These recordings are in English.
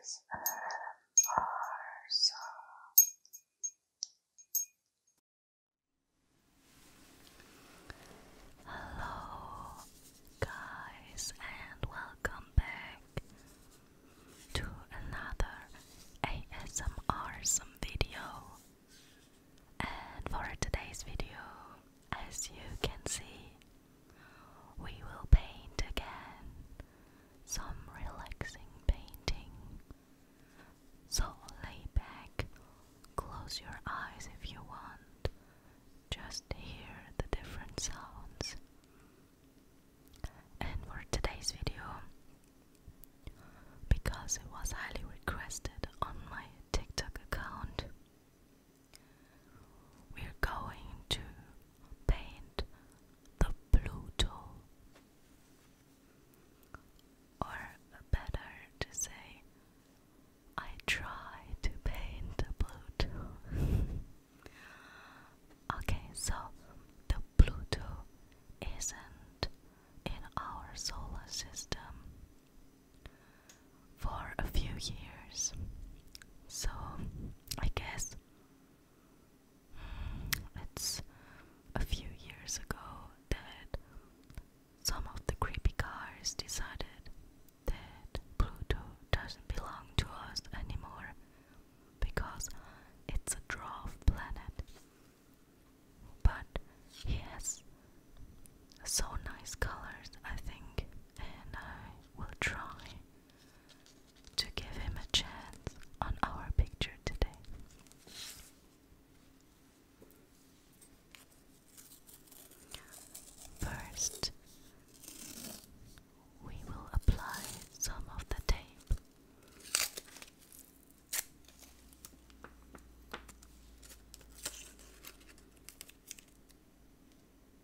is uh, Hello, guys, and welcome back to another ASMR some video. And for today's video, as you can see, we will paint again some relaxing painting. So lay back, close your eyes if you want, just hear the different sounds. And for today's video, because it was highly requested on my TikTok account, we're going to paint the Pluto, or better to say, I try to paint the Pluto. okay, so the Pluto isn't in our solar system for a few years. So, I guess mm, it's a few years ago that some of the creepy cars decided that Pluto doesn't belong to us anymore because it's a dwarf planet. But he so nice colors, I think, and I we will try to give him a chance on our picture today. First, we will apply some of the tape.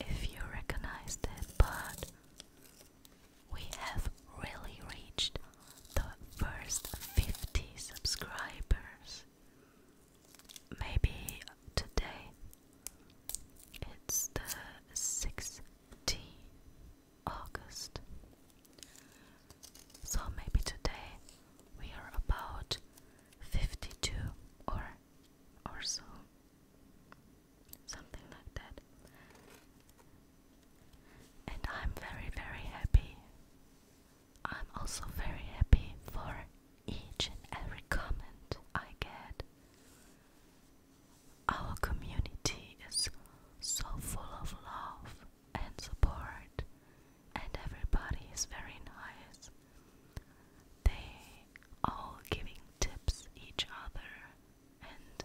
if you recognize that part. We have really reached the first 50 subscribers. Maybe today it's the 16th August. So maybe today we are about 52 or or so something like that. And I'm very, very happy. I'm also very happy for each and every comment I get. Our community is so full of love and support, and everybody is very nice. They all giving tips each other, and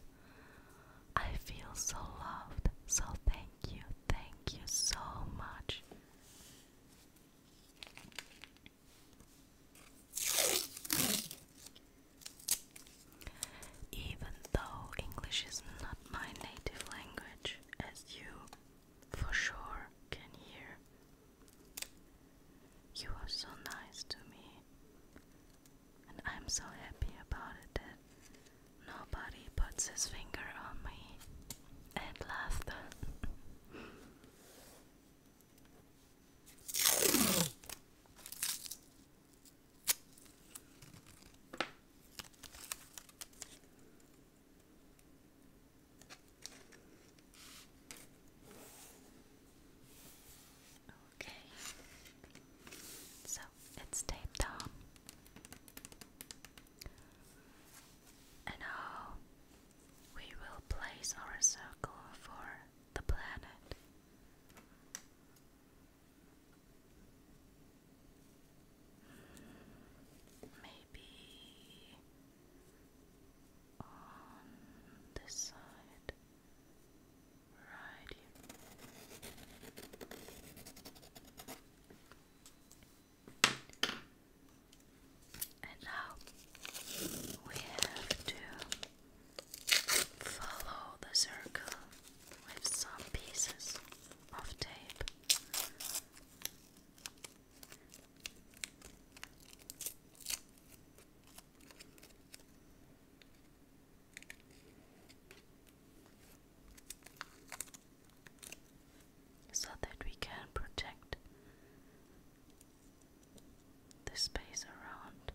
I feel so loved. So, thank you, thank you so much. Even though English is not my native language, as you for sure can hear, you are so nice to me, and I'm so happy about it that nobody puts his finger on me. And laughter. Okay, so it's taped on, and now we will place our circle for the planet. Maybe on this side, right here. And now we have to follow the circle with some pieces of tape so that we can protect the space around.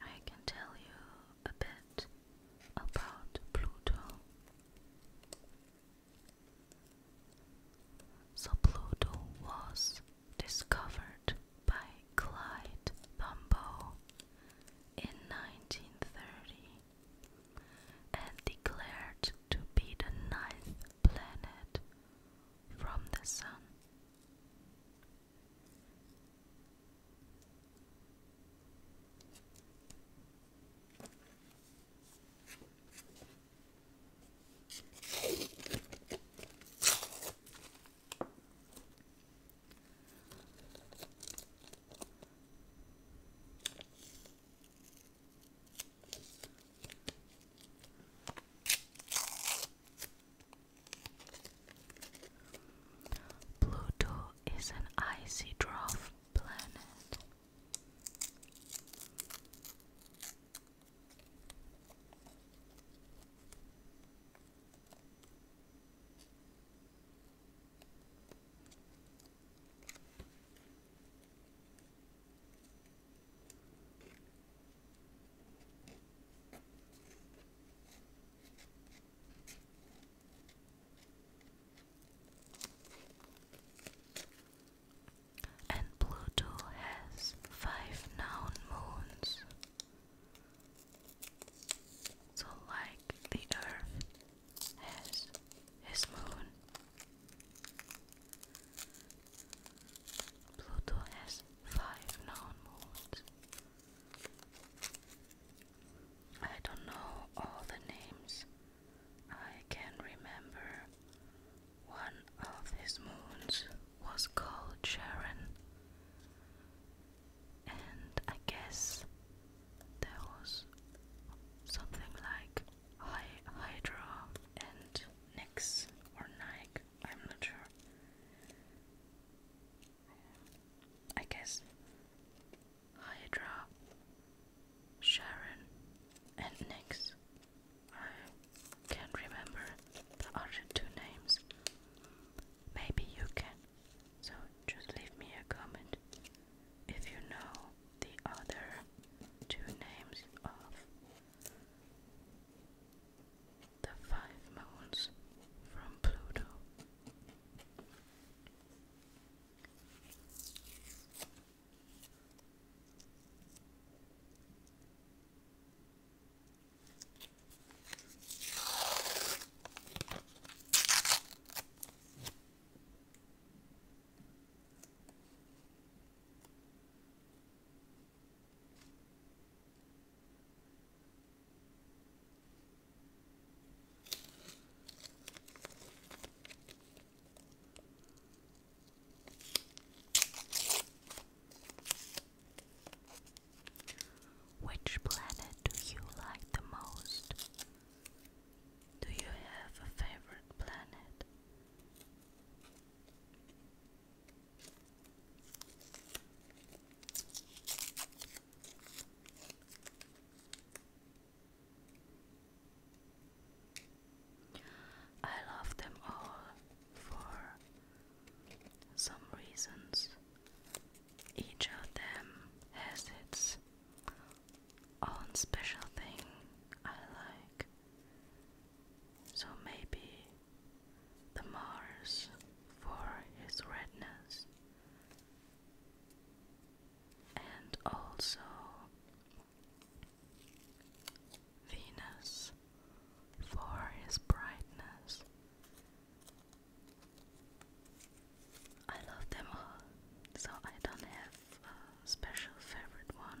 I can tell you a bit about Pluto. So, Pluto was discovered by Clyde Tombaugh in 1930 and declared to be the ninth planet from the sun. Pluto is an icy dwarf planet. And Pluto has five known moons. So, like the Earth has his moon, Pluto has five known moons. I don't know all the names. I can remember one of his moons was called Sharon, and I guess there was something like Hydra and Nix or Nike, I'm not sure. I guess Hydra, Sharon, and Nix. I can't remember the other two names. Maybe you can, so just leave me a comment if you know the other two names of the Five Moons from Pluto. Which planet do you like the most? Do you have a favorite planet? I love them all for some reasons. Each of them has its own special thing I like. So maybe the Mars for its redness and also Venus for its brightness. I love them all, so I don't have a special favorite one.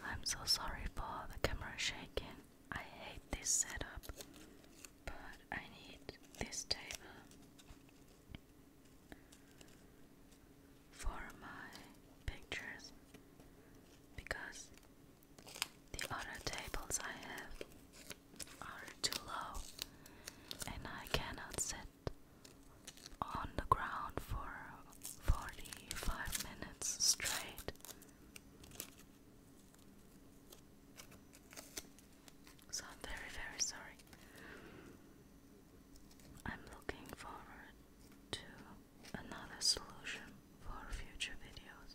I'm so sorry for the camera shaking. I hate this setup but I need this table for my pictures because the other tables I have are too low and I cannot sit on the ground for 45 minutes straight. So I'm very, very sorry. I'm looking forward to another solution for future videos.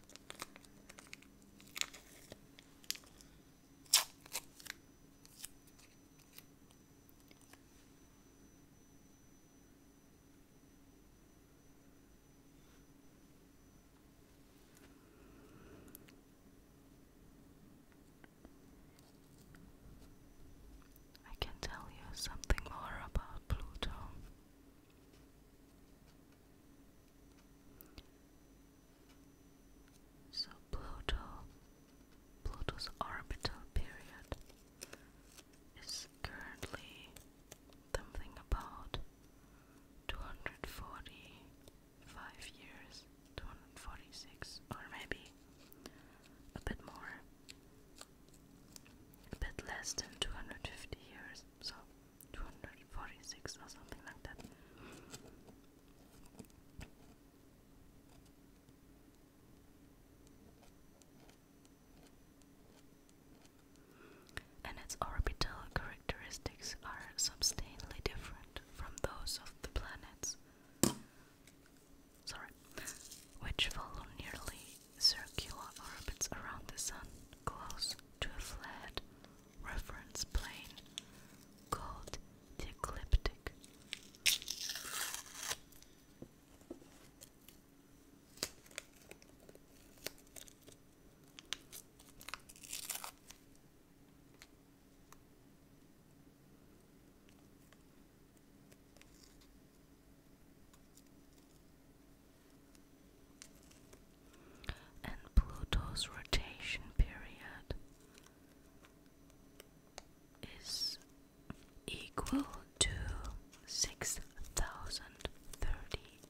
I can tell you something more about Pluto. So Pluto Pluto's orbital period is currently something about 240 five years, 246, or maybe a bit more, a bit less than 250 years, so 246 or something like that. And its orbital characteristics are substantially different from those of the planets. Sorry, which follow nearly circular orbits around the Sun, close to a flat reference plane called the ecliptic and Pluto's rotation period is equal to six thousand thirty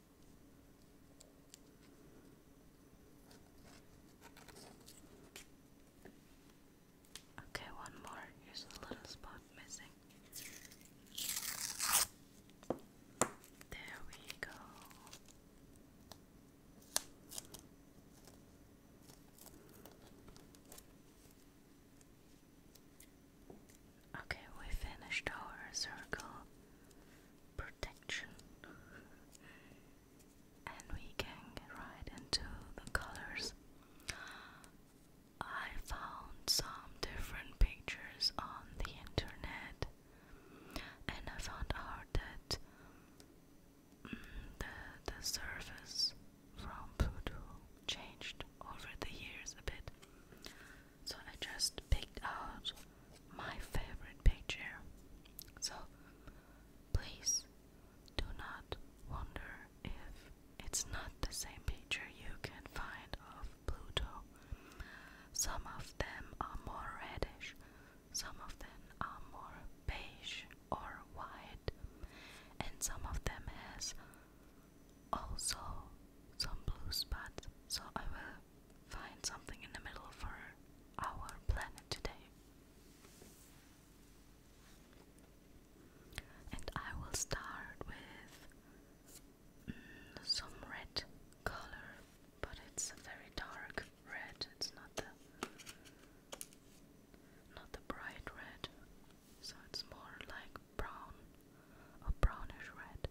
Okay, one more. Here's a little spot missing. There we go. Okay, we finished our circle protection. and we can get into the colors. I found some different pictures on the internet and I found out that mm, the, the surface from Pluto changed over the years a bit. So I just picked out my favorite picture. So please do not wonder if it's not the same picture you can find of Pluto. Some of them are more reddish, some of them are more beige or white, and some of them has also some blue spots, so I will find something in the middle for our planet today. And I will start with mm, some red color, but it's a very dark red. It's not the not the bright red, so it's more like brown or brownish red.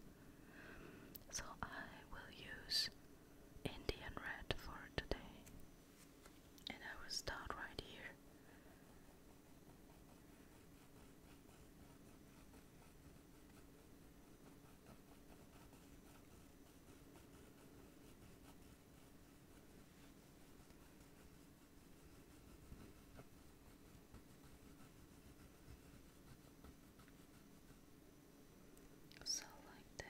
So I will use Indian red for today. And I will start right here. So And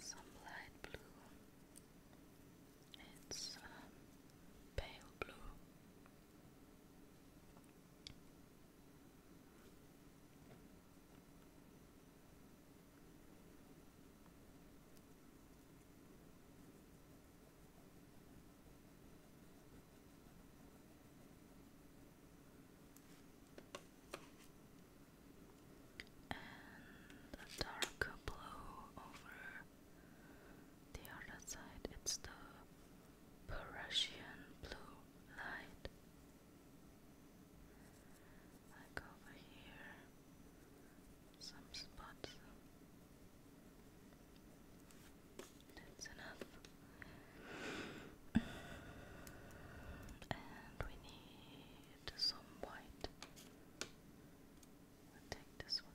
some light blue. It's pale blue. And a dark blue over the other side. It's the Prussian blue light. Like over here, some spots. That's enough. and we need some white. take this one.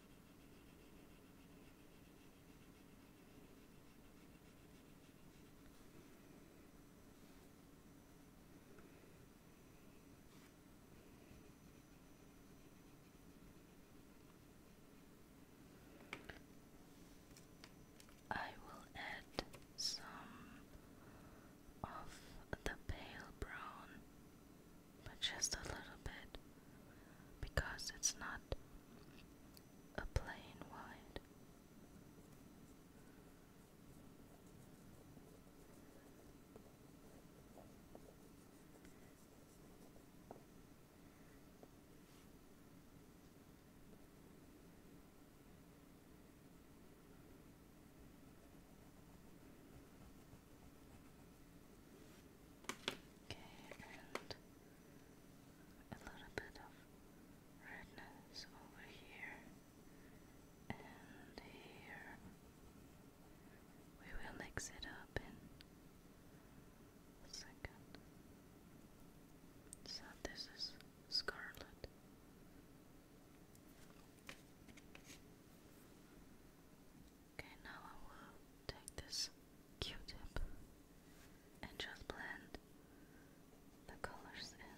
I will add some of the pale brown but just a little bit because it's not a plain white. Okay, and a little bit of redness over here and here. We will mix it up in a second. So this is scarlet. Okay, now I will take this Q-tip and just blend the colors in.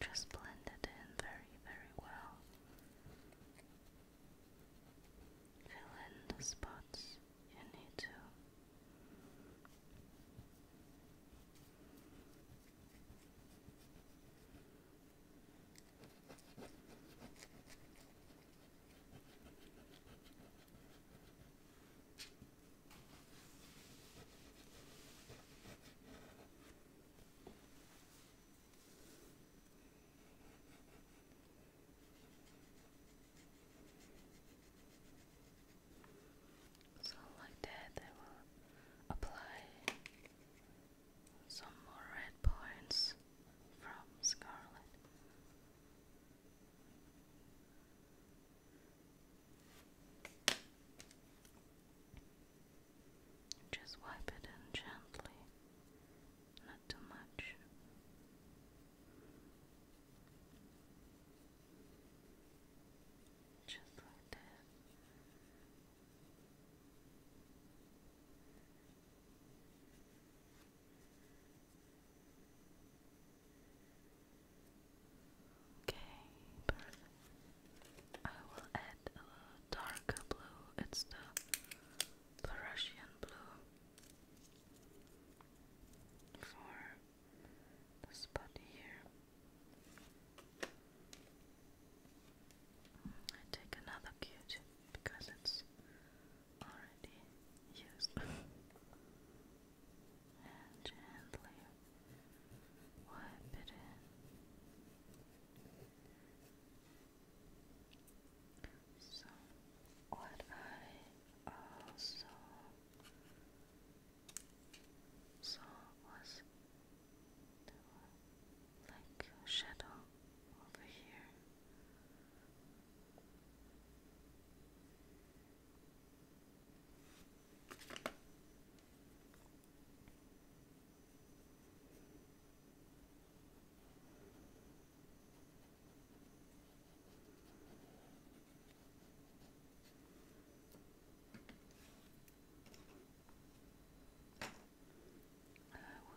Just blend it in very, very well. Fill in the spots you need to. So like that I will apply some more red points from Scarlet. Just wipe it in gently, not too much. Just like that. Okay, perfect. I will add a darker blue. It's the Prussian blue for the spot here. I take another cute because it's already used. and gently wipe it in. So, what I also saw was like shadow over here. I uh,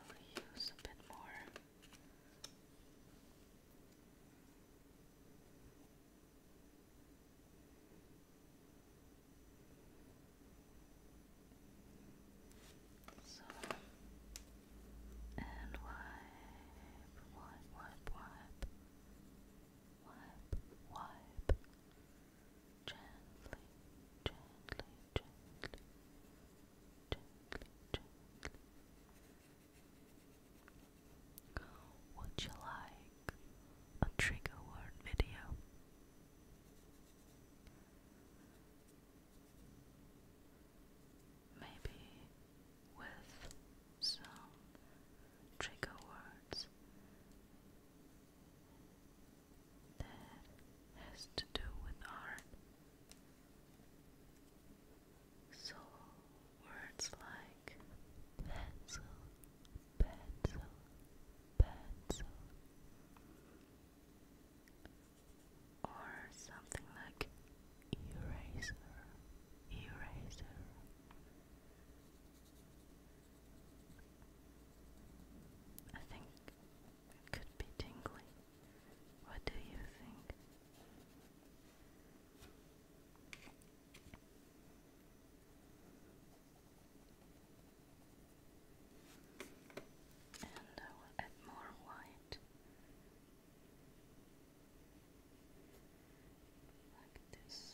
will use a bit more so and wipe, wipe, wipe, wipe, wipe, gently, gently, gently. Would you like a trigger word video? Maybe with some trigger words that has to do with art. So words like pencil, pencil, pencil, or something like eraser, eraser. I think it could be tingly. What do you think? And I will add more white like this.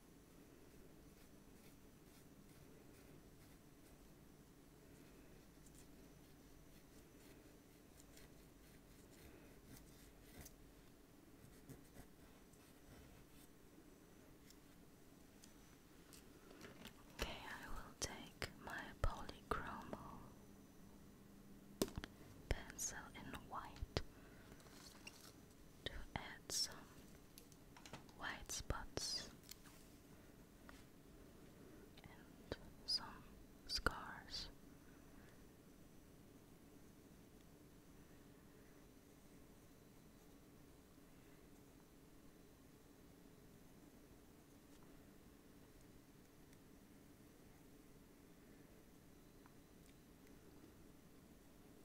Okay, I will take my polychromo pencil in white to add some white spots and some scars.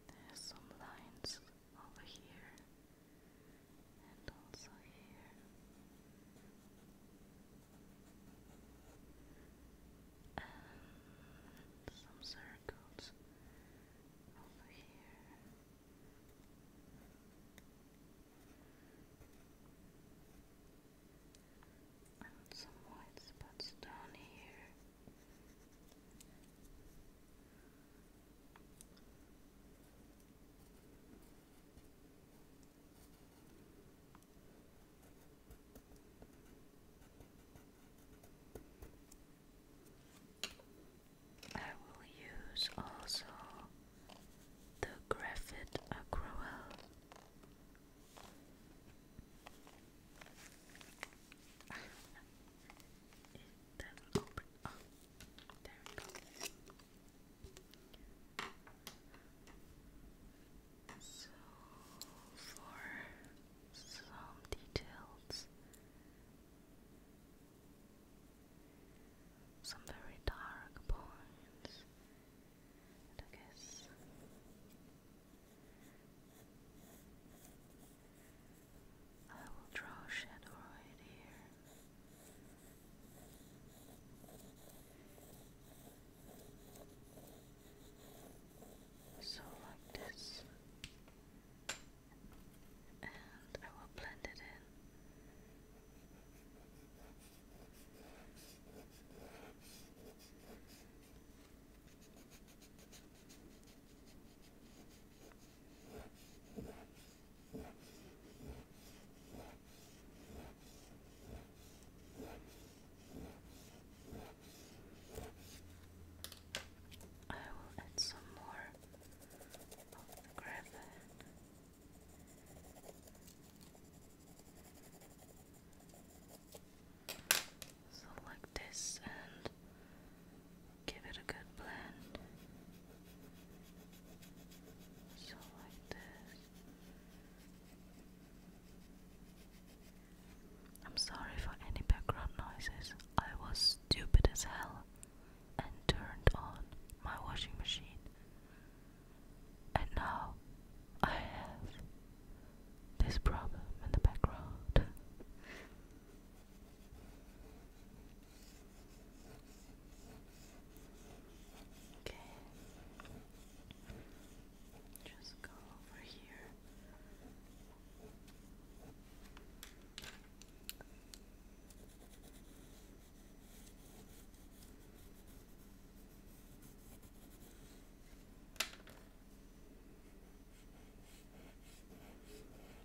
There's some lines over here and also here. And some circles over here. And some white spots down here. I will use also the graphite acryl it does So, for some details, some very dark points, I guess. I will draw a shadow right here. So like this. And I will blend it in. I will add some more of the gravel. So this and give it a good blend. So like this. I'm sorry for any background noises. I was stupid as hell and turned on my washing machine. And now I have this problem in the background. Okay. Just go over here.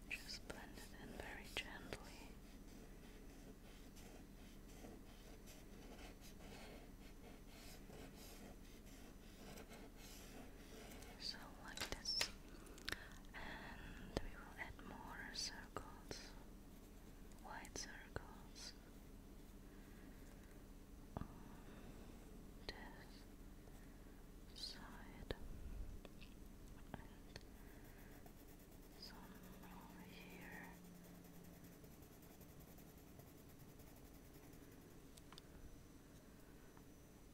Just blend it in very gently. So, like this, and we will add more circles, white circles this side and some over here.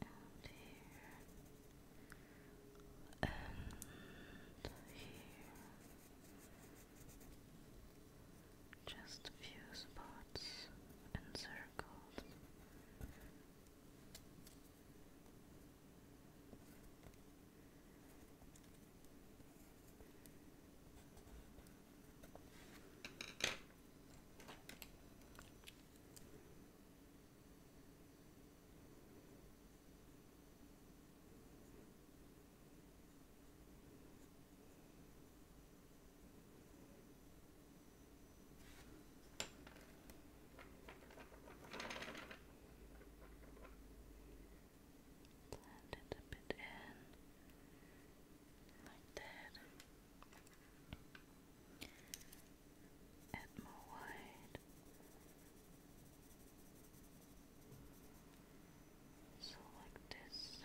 And here and here just a few spots and Blend it a bit in, like that. Add more white. So like this.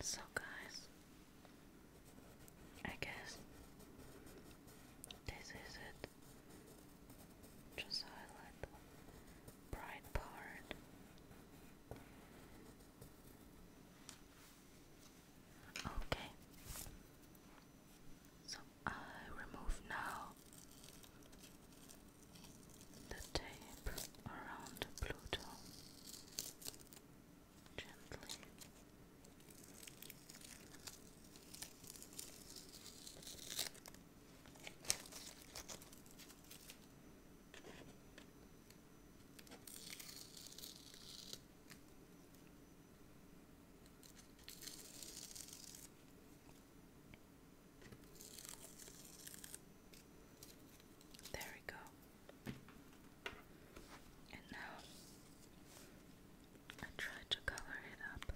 So, guys, I guess this is it. Just highlight the bright part. Okay, so I remove now the tape around Pluto gently. There we go. And now I try to color it up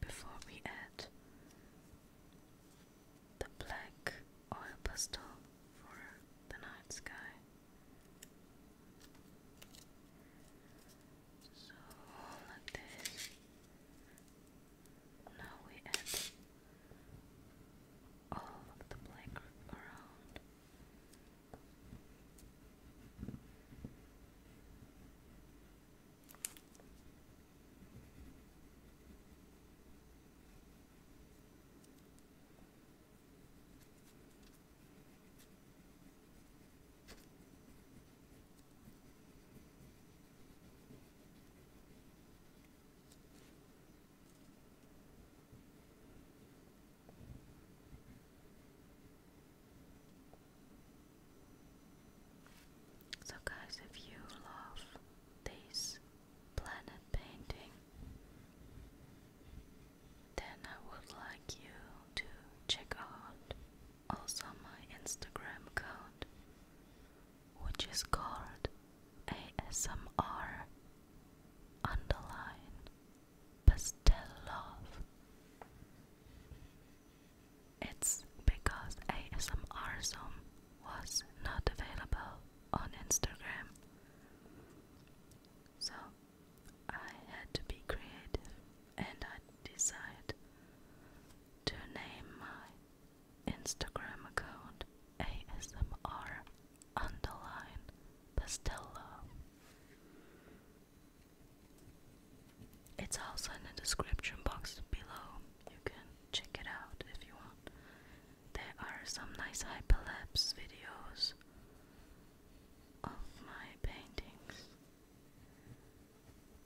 before we add the black oil pastel for the night sky. So like this. Now we add all of the black around. So, guys, if you love this planet painting, then I would like you to check out also my Instagram account which is called ASMR underline pastel love. It's because ASMRism was not available on Instagram. So I had to be creative and I decided to name my Instagram account ASMR underline Pastella. It's also in the description box below. You can check it out if you want. There are some nice hyperlapse videos of my paintings.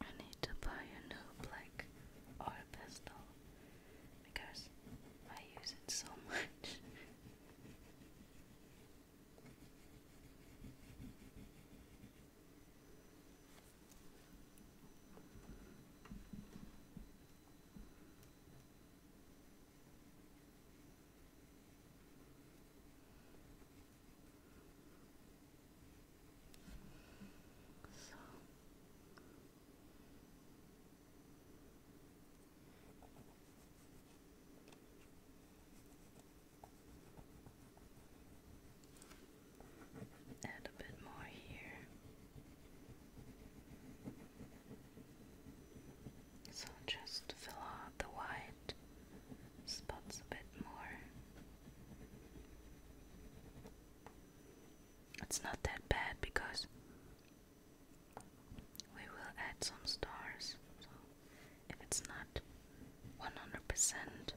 I need to buy a new black a pistol because I use it so much. So Add a bit more here. So just fill out the white spots a bit more. It's not that bad because we will add some stars. So if it's not 100%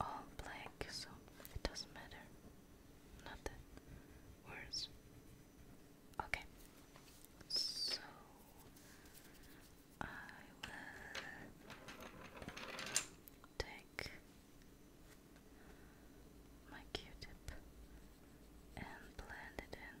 all black, so it doesn't matter. Not worse. Okay. So I will take my Q-tip and blend it in.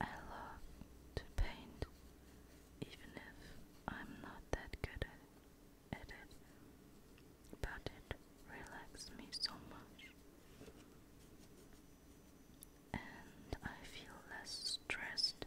I love to paint, even if I'm not that good at it, but it relaxes me so much. And I feel less stressed.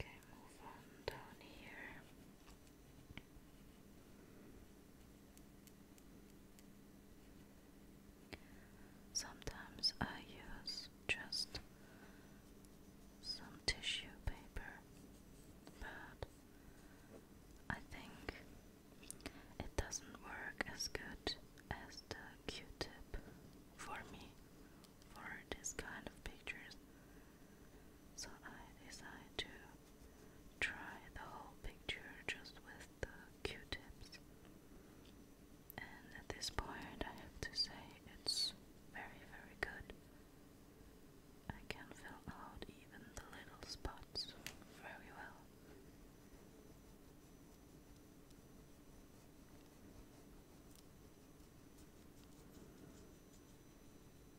Okay, move on down here. Sometimes I use just some tissue paper, but I think it doesn't work as good as the Q tip for me for this kind of pictures. So I decided to try the whole picture just with the q-tips. And at this point I have to say it's very very good. I can fill out even the little spots very well.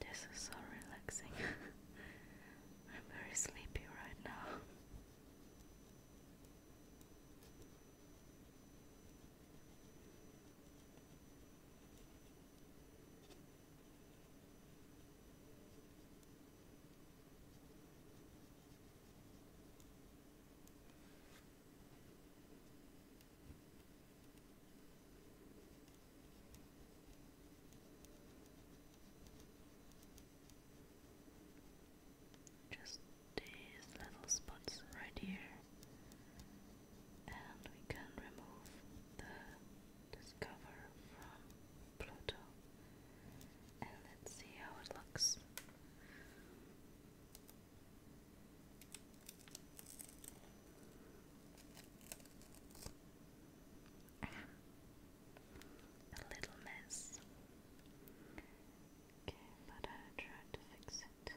This is so relaxing. I'm very sleepy right now. Just these little spots right here and we can remove the discover from Pluto. And let's see how it looks. A little mess. Okay, but I'll try to fix it.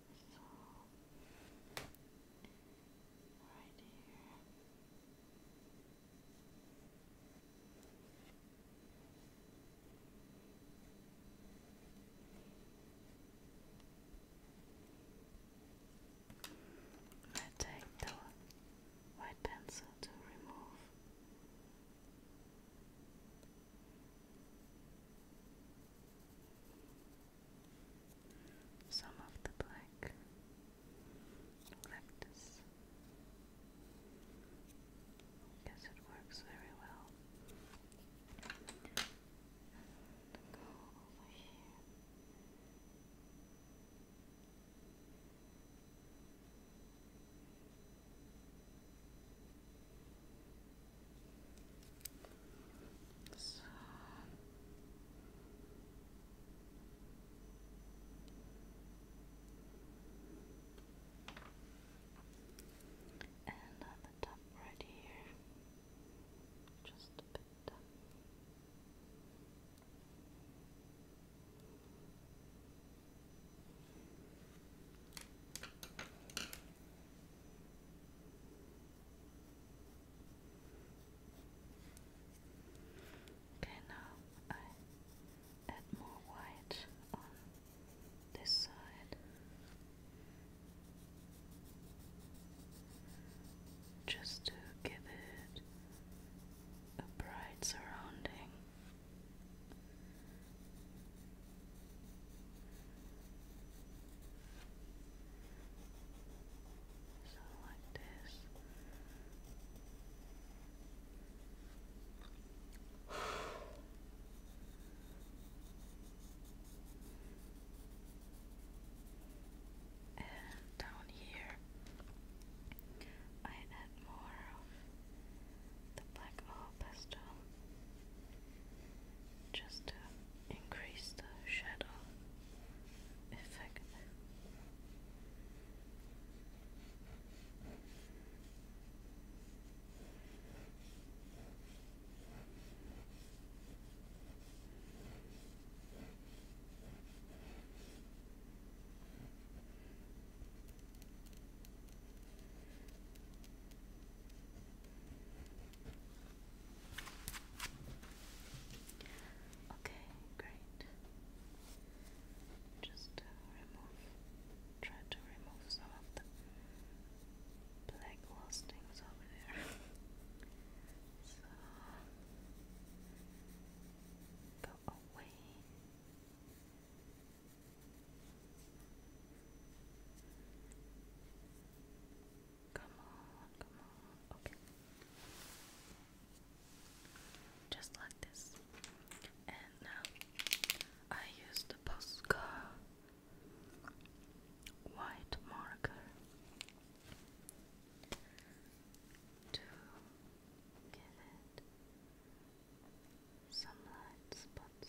So, right I take the white pencil to remove some of the black leftists. Guess it works very well. go over here. So and at the top right here, just a bit. Okay. Okay, now I add more white on this side just to give it a bright surrounding. So like this. And down here, I add more of the black oil pastel just to increase the shadow effect. Okay, great. Just uh, remove, try to remove some of the black lustings over there. so, go away. Come on, come on. Okay. Just like this. And now I use the Posca white marker to give it some light spots.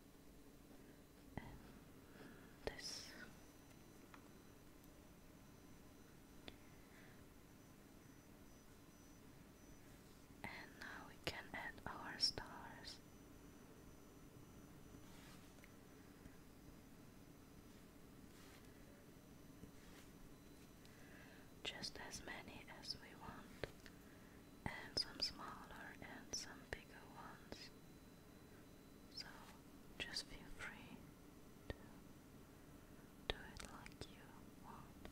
this. And now we can add our stars. Just as many as we want and some smaller and some bigger ones. So just feel free to do it like you want.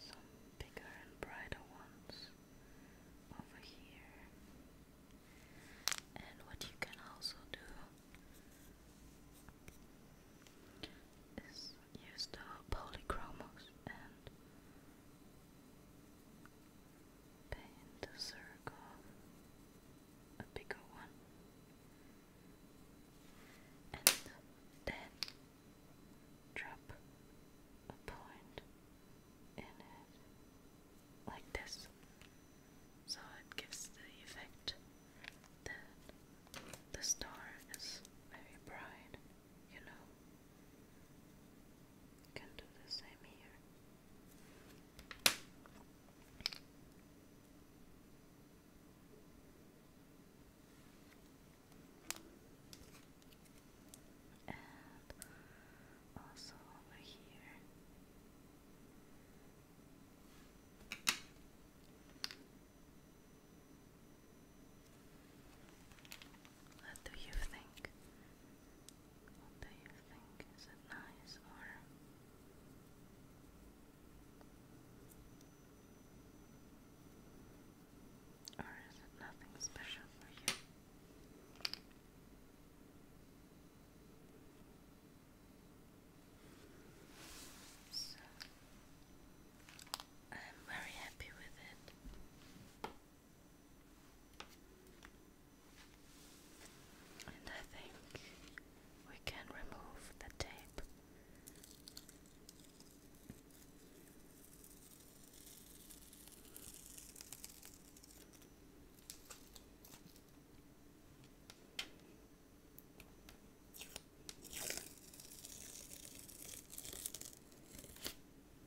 Some bigger and brighter ones over here. And what you can also do is use the polychromos and Paint a circle, a bigger one, and then drop a point in it like this, so it gives the effect that the star is very bright, you know. You can do the same here. And also over here. What do you think? What do you think? Is it nice or? Or is it nothing special for you? So, I'm very happy with it. And I think we can remove the tape.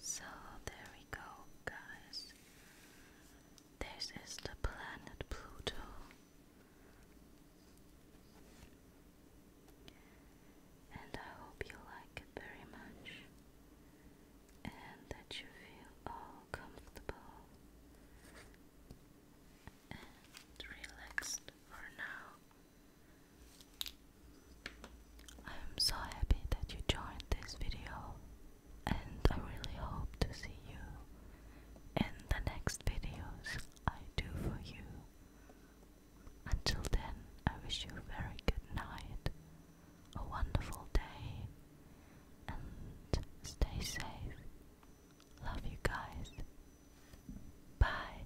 So there we go, guys. This is the planet Pluto. And I hope you like it very much and that you feel all comfortable and relaxed for now. I am so happy that you joined this video and I really hope to see you in the next videos I do for you. Until then, I wish you a very good night, a wonderful day, and stay safe. Love you guys. Bye.